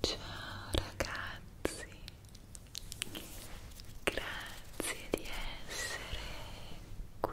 Ciao ragazzi, grazie di essere qui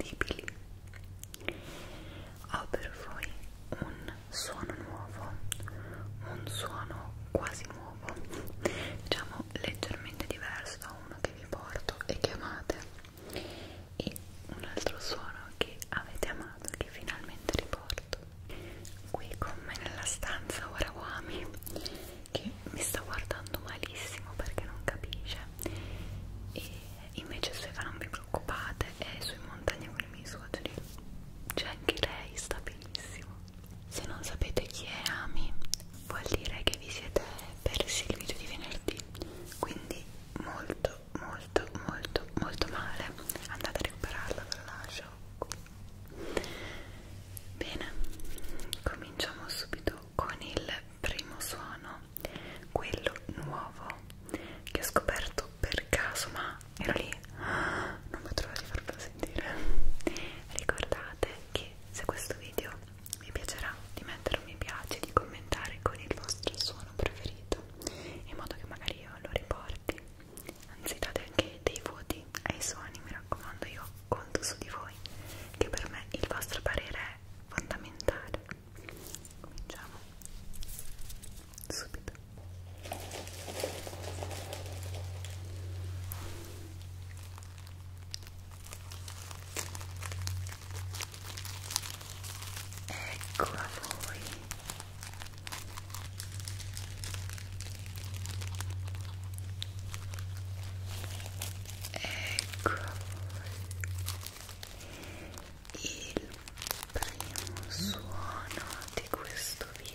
irresistibili. Ho per voi un suono nuovo, un suono quasi nuovo, diciamo leggermente diverso da uno che vi porto e che amate, e un altro suono che avete amato e che finalmente riporto. Qui con me nella stanza Warawami che mi sta guardando malissimo perché non capisce e invece Seba non vi preoccupate è sui montagnoli miei suoceri c'è cioè, anche lei sta benissimo se non sapete chi è Ami vuol dire che vi siete persi il video di venerdì quindi molto molto molto molto male andate a recuperarla ve la lascio qui bene cominciamo subito con il primo suono quello nuovo che ho scoperto per caso ma ero lì non vedo l'ora di farvelo sentire ricordate che se questo video vi piacerà di mettere un mi piace di commentare con il vostro suono preferito in modo che magari io lo riporti anzi date anche dei voti ai suoni mi raccomando io conto su di voi che per me il vostro parere è fondamentale cominciamo subito ecco a voi ecco il primo suono di questo video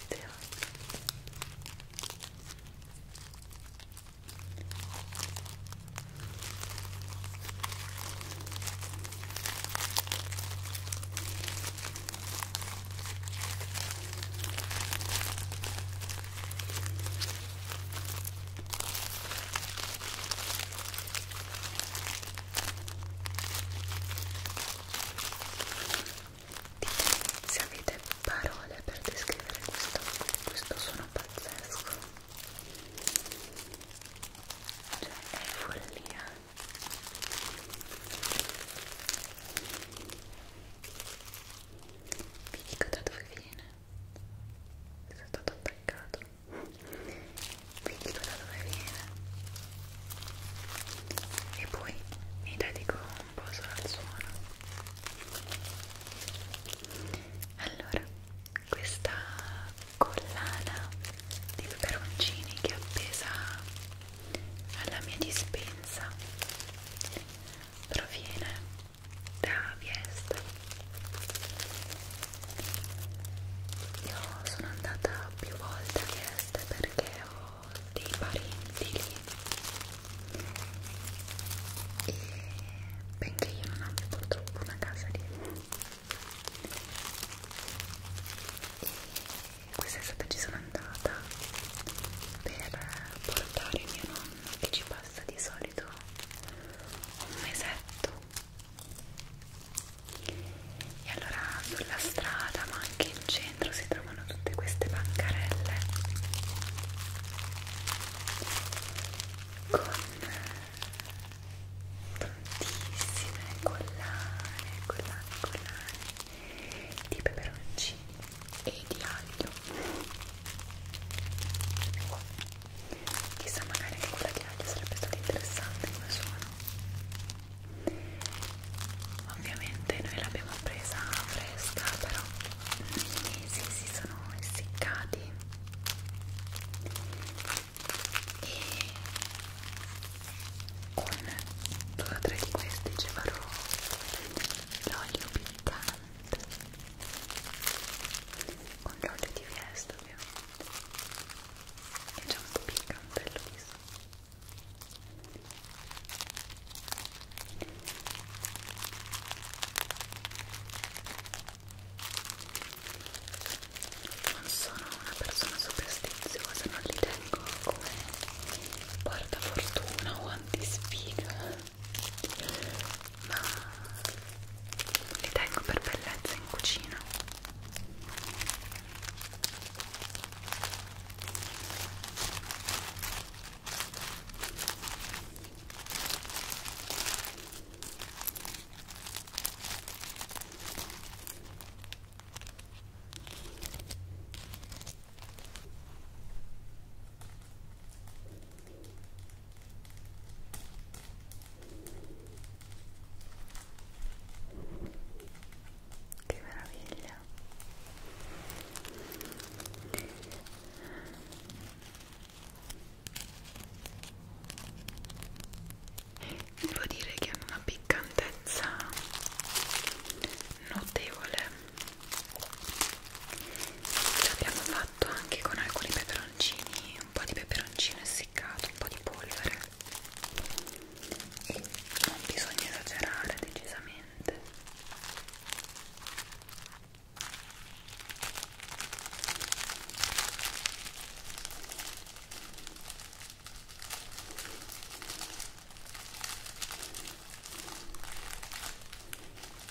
Ditemi se avete parole per descrivere questo, questo suono pazzesco. Cioè, è follia. Vi dico da dove viene sono stato attaccato quindi da dove viene e poi mi dedico un po' solo al suono allora questa collana di peperoncini che è appesa alla mia dispensa proviene da Viesta io sono andata più volte a Viesta perché ho dei parenti lì e benché io non abbia purtroppo una casa lì e quest'estate ci sono andata per portare mio nonno che ci passa di solito un mesetto e allora sulla strada ma anche in centro si trovano tutte queste bancarelle con tantissime collane, collane, collane di peperoncini e di aglio chissà magari anche quella chiacchiera sarebbe stata interessante come suono ovviamente noi l'abbiamo presa fresca però i mesi si sono essiccati e con due o tre di questi ci farò l'olio piccante ovviamente con l'olio di fiesta ovviamente e c'è un po' piccante il viso non sono una persona superstiziosa, non li tengo come portafortuna o antisfiga ma li tengo per bellezza in cucina che meraviglia! Devo dire che hanno una piccantezza notevole. L'abbiamo fatto anche con alcuni peperoncini un po' di peperoncino essiccato, un po' di polvere e non bisogna esagerare decisamente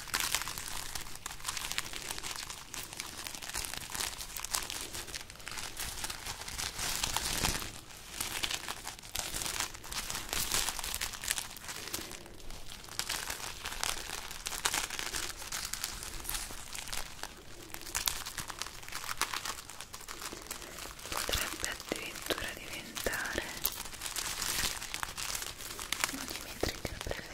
potrebbe addirittura diventare un millimetro che lo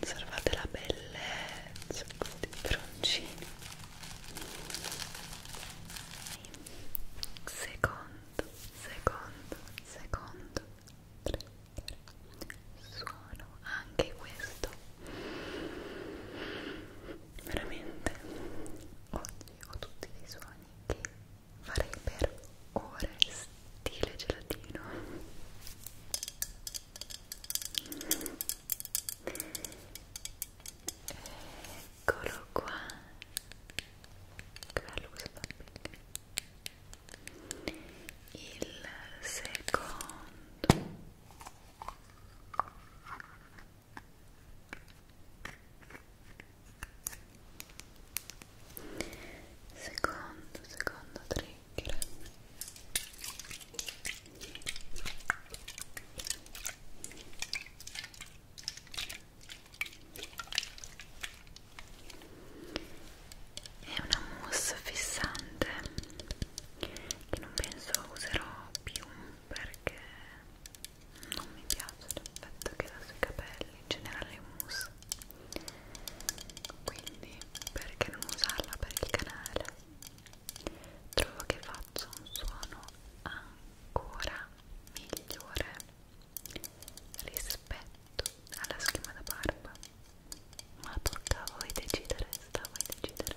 Osservate la bellezza di broncino. Secondo, secondo, secondo suono anche questo veramente oggi ho tutti dei suoni che farei per ore stile gelatino eccolo qua che bello questo bambino il secondo secondo secondo trigger è una mousse fissante che non penso userò più perché non mi piace l'effetto che dà sui capelli in generale in mousse quindi perché non usarla per il canale trovo che faccia un suono ancora migliore rispetto alla schiuma da barba ma tocca a voi decidere, sta a voi decidere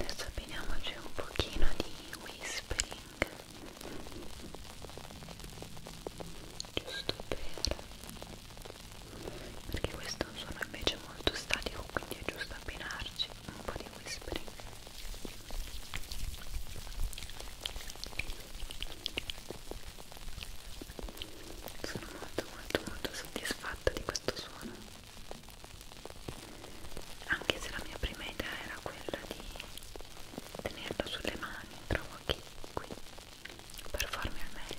Adesso abbiniamoci un pochino di whispering giusto per perché questo è un suono invece molto statico quindi è giusto abbinarci un po' di whispering sono molto molto molto soddisfatta di questo suono anche se la mia prima idea era quella di tenerlo sulle mani trovo che qui per farmi al meglio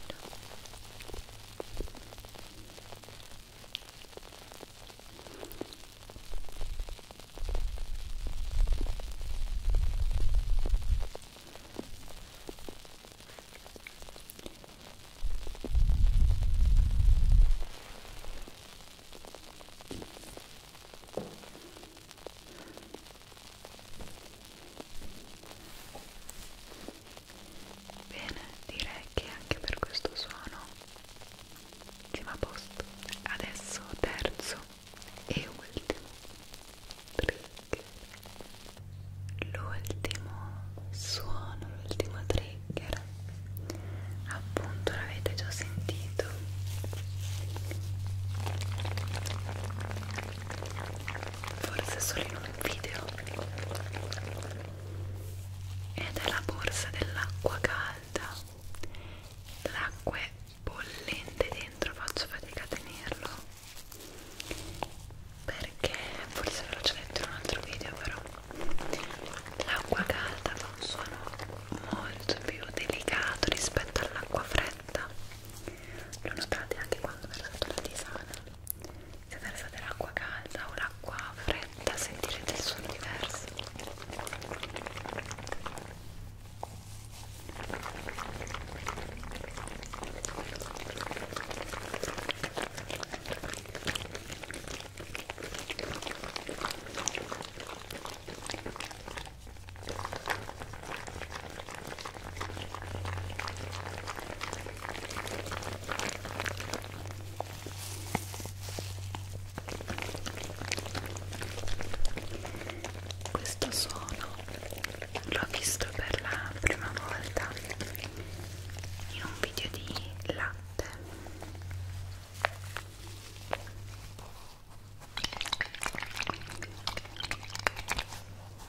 Bene, direi che anche per questo suono siamo a posto. Adesso terzo e ultimo trigger. L'ultimo suono, l'ultimo trigger. Appunto l'avete già sentito forse solo in un video ed è la borsa dell'acqua calda l'acqua è bollente dentro faccio fatica a tenerlo perché forse ve l'ho già detto in un altro video però l'acqua calda fa un suono molto più delicato rispetto all'acqua fredda lo notate anche quando versate la tisana se versate l'acqua calda o l'acqua fredda sentirete il suono diverso questo suono l'ho visto per la prima volta in un video di latte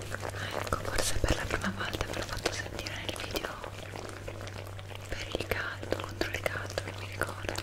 ecco forse per la prima volta ve l'ho fatto sentire nel video per il caldo contro il caldo non mi ricordo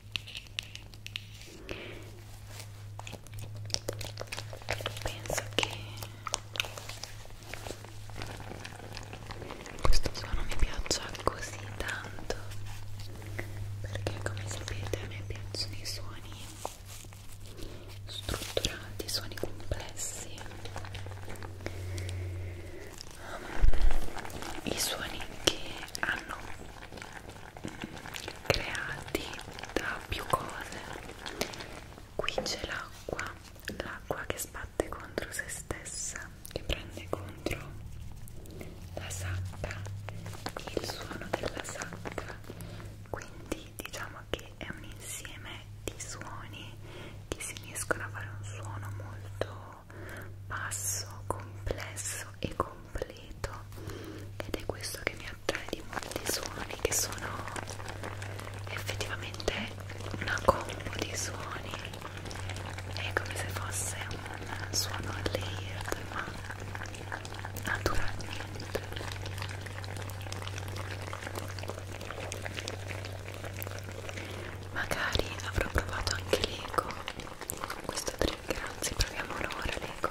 penso che questo suono mi piaccia così tanto perché come sapete a me piacciono i suoni strutturati, suoni complessi i suoni che hanno creati da più cose qui c'è l'acqua l'acqua che sbatte contro se stessa che prende contro la sacca il suono della sacca quindi diciamo che è un insieme di suoni che si uniscono a fare un suono molto basso complesso e completo solito ed è questo che mi attrae di molti suoni che sono effettivamente una combo di suoni è come se fosse un suono layered ma naturalmente magari avrò provato anche l'eco questo trigger, anzi proviamolo ora l'ego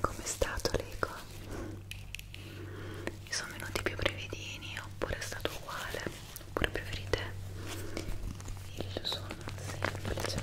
Com'è stato l'eco? Mi sono venuti più brevidini oppure è stato uguale? Oppure preferite il suono semplice?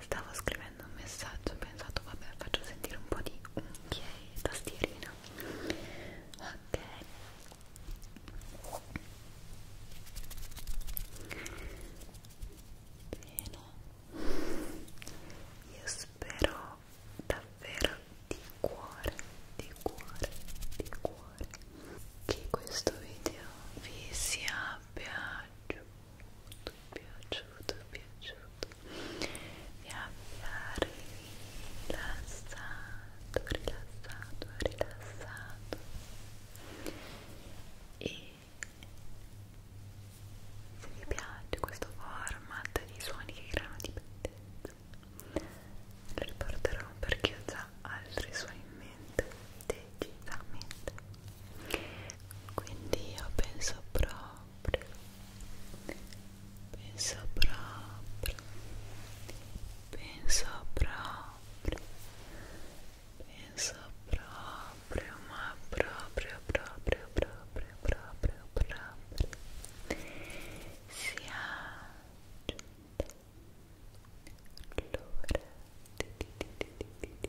Stavo scrivendo un messaggio, ho pensato vabbè faccio sentire un po' di unghie e tastierina. Ok, Bene, io spero davvero di cuore, di cuore, di cuore che questo video vi sia piaciuto, piaciuto, piaciuto, vi abbia rilassato rilassato, rilassato, rilassato e se vi piace questo format di suoni che creano dipendenza lo riporterò perché ho già altri suoni in mente decisamente quindi io penso proprio penso proprio penso proprio penso proprio ma proprio proprio proprio proprio proprio sia giunta l'ora di di di di di di di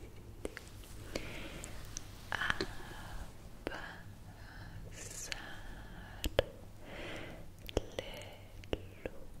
di abbassare le luci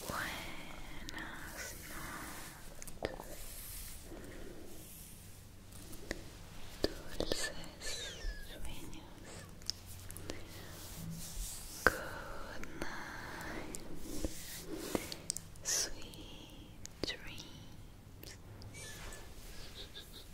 Buenas noches, dulces sueños. Good night, sweet dreams